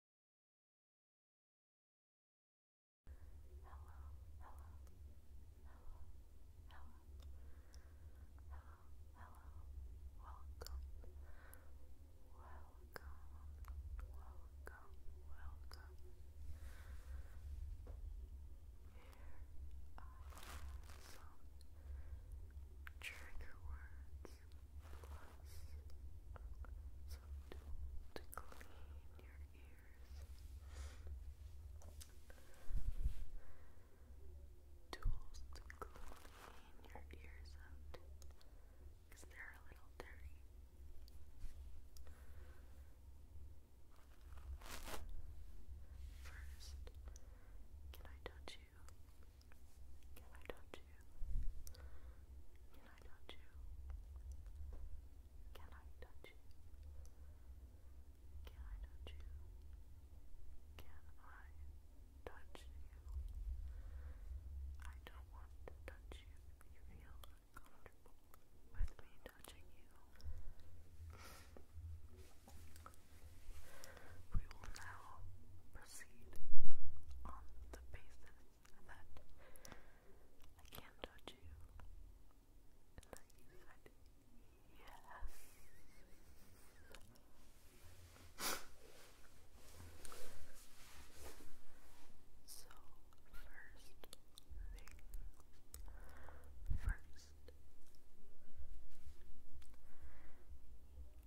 some trigger words plus to clean your ears. Tools to clean your ears out they're a little dirty. First, can I touch you? you? Can I touch you? Can I touch you? Can I touch you? Can I touch you? Can I touch you? I don't want to touch you. You feel uncomfortable with me touching you. We will now proceed on the that I can touch you. And then you said, yes. so, first first,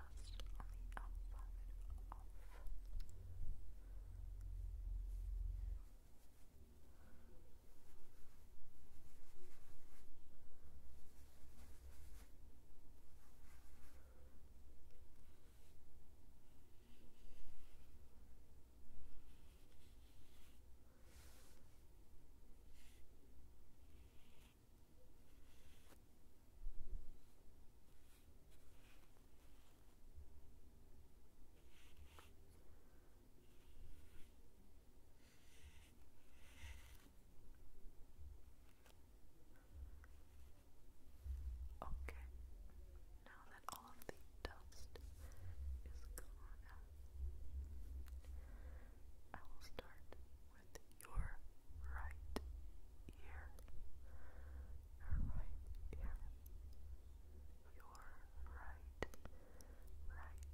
dust on the alphabet off. Now Okay, now that all of the dust is gone, I will start with your right ear, right ear, your right, right, right ear.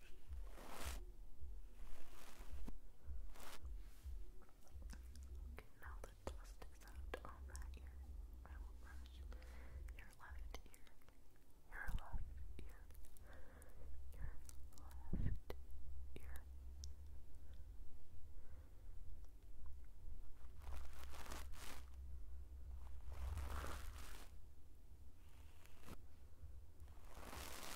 Okay, now the dust is out on that ear. I will brush your left ear. Your left ear. Your left ear. Okay,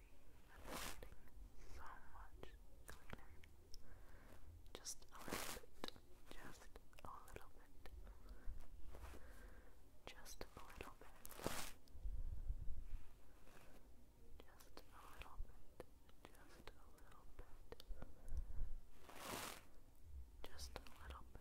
see that Just a little bit. Just a little bit. Just a little bit. Just a little bit. Just a little bit. Just a little bit.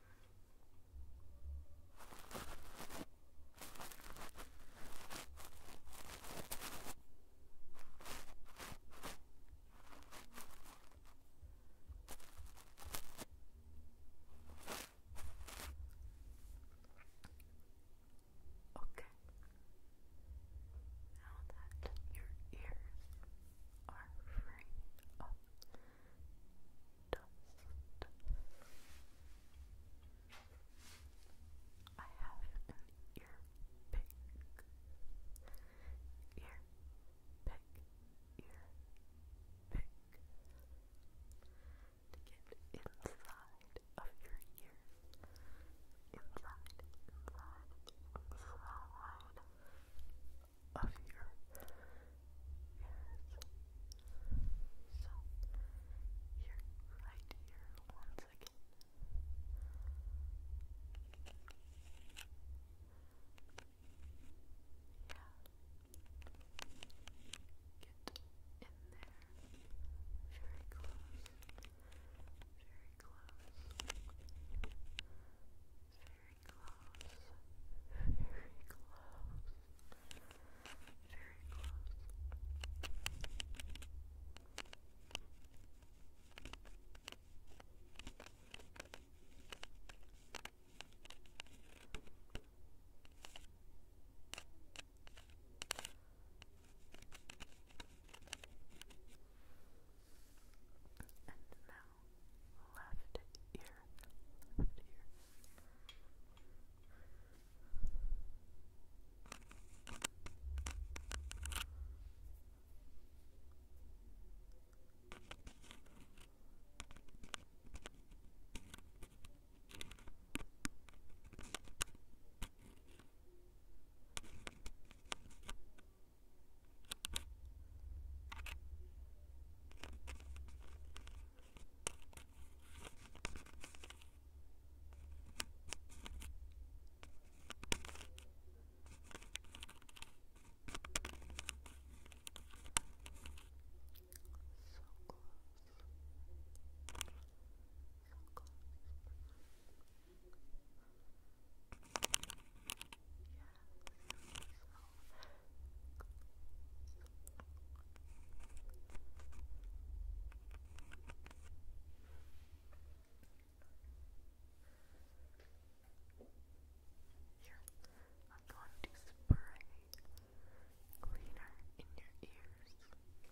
Okay. Now that your ears are free of oh, dust. I have an ear pick, ear pick, ear pick to get inside of your ear, inside, inside, inside of your So, here, right here, one second. Yeah. Get in there. Very close. Very close very close, very close, very close. Very close. And now, left ear, left ear. Left ear, so close. So close. I'm going to spray cleaner in your ears. Good.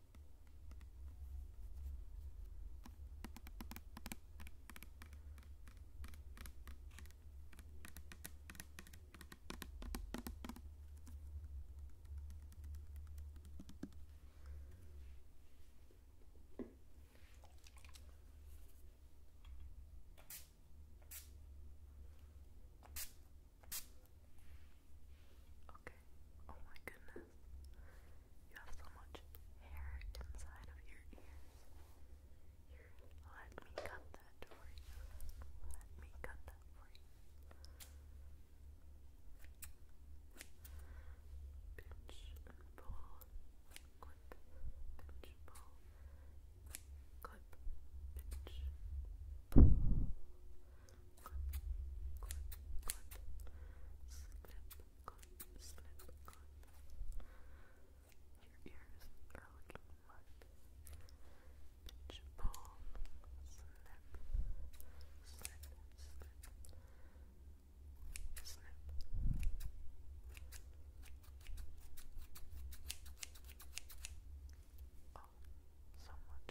Okay. Oh my goodness. You have so much hair inside of your ears. let me cut that for you. Let me cut that for you. Pinch and pull. Clip, pull. Clip, pull clip, slip, Your ears are looking mud. slip, slip, slip, slip. so much,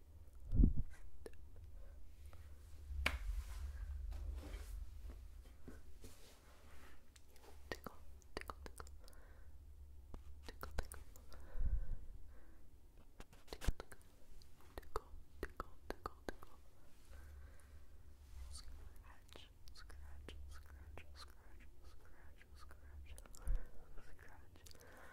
tickle, tickle, tickle, tickle, tickle, tickle, tickle, tickle, tickle, tickle, scratch, scratch, scratch, scratch, scratch, scratch, scratch.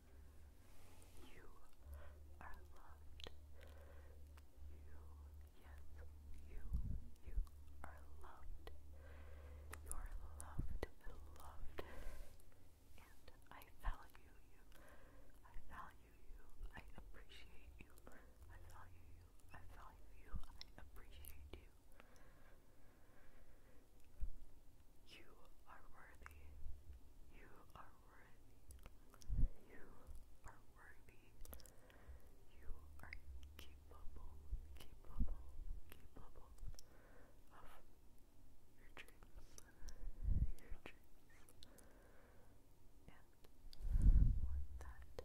You are loved. You, yes, you, you are loved. You are loved and loved. And I value you. I value you. I appreciate you. I value you. I value you. I appreciate you. You are worthy. You are worthy. You are worthy. You are capable, capable, capable of your dreams. Your dreams. And with that,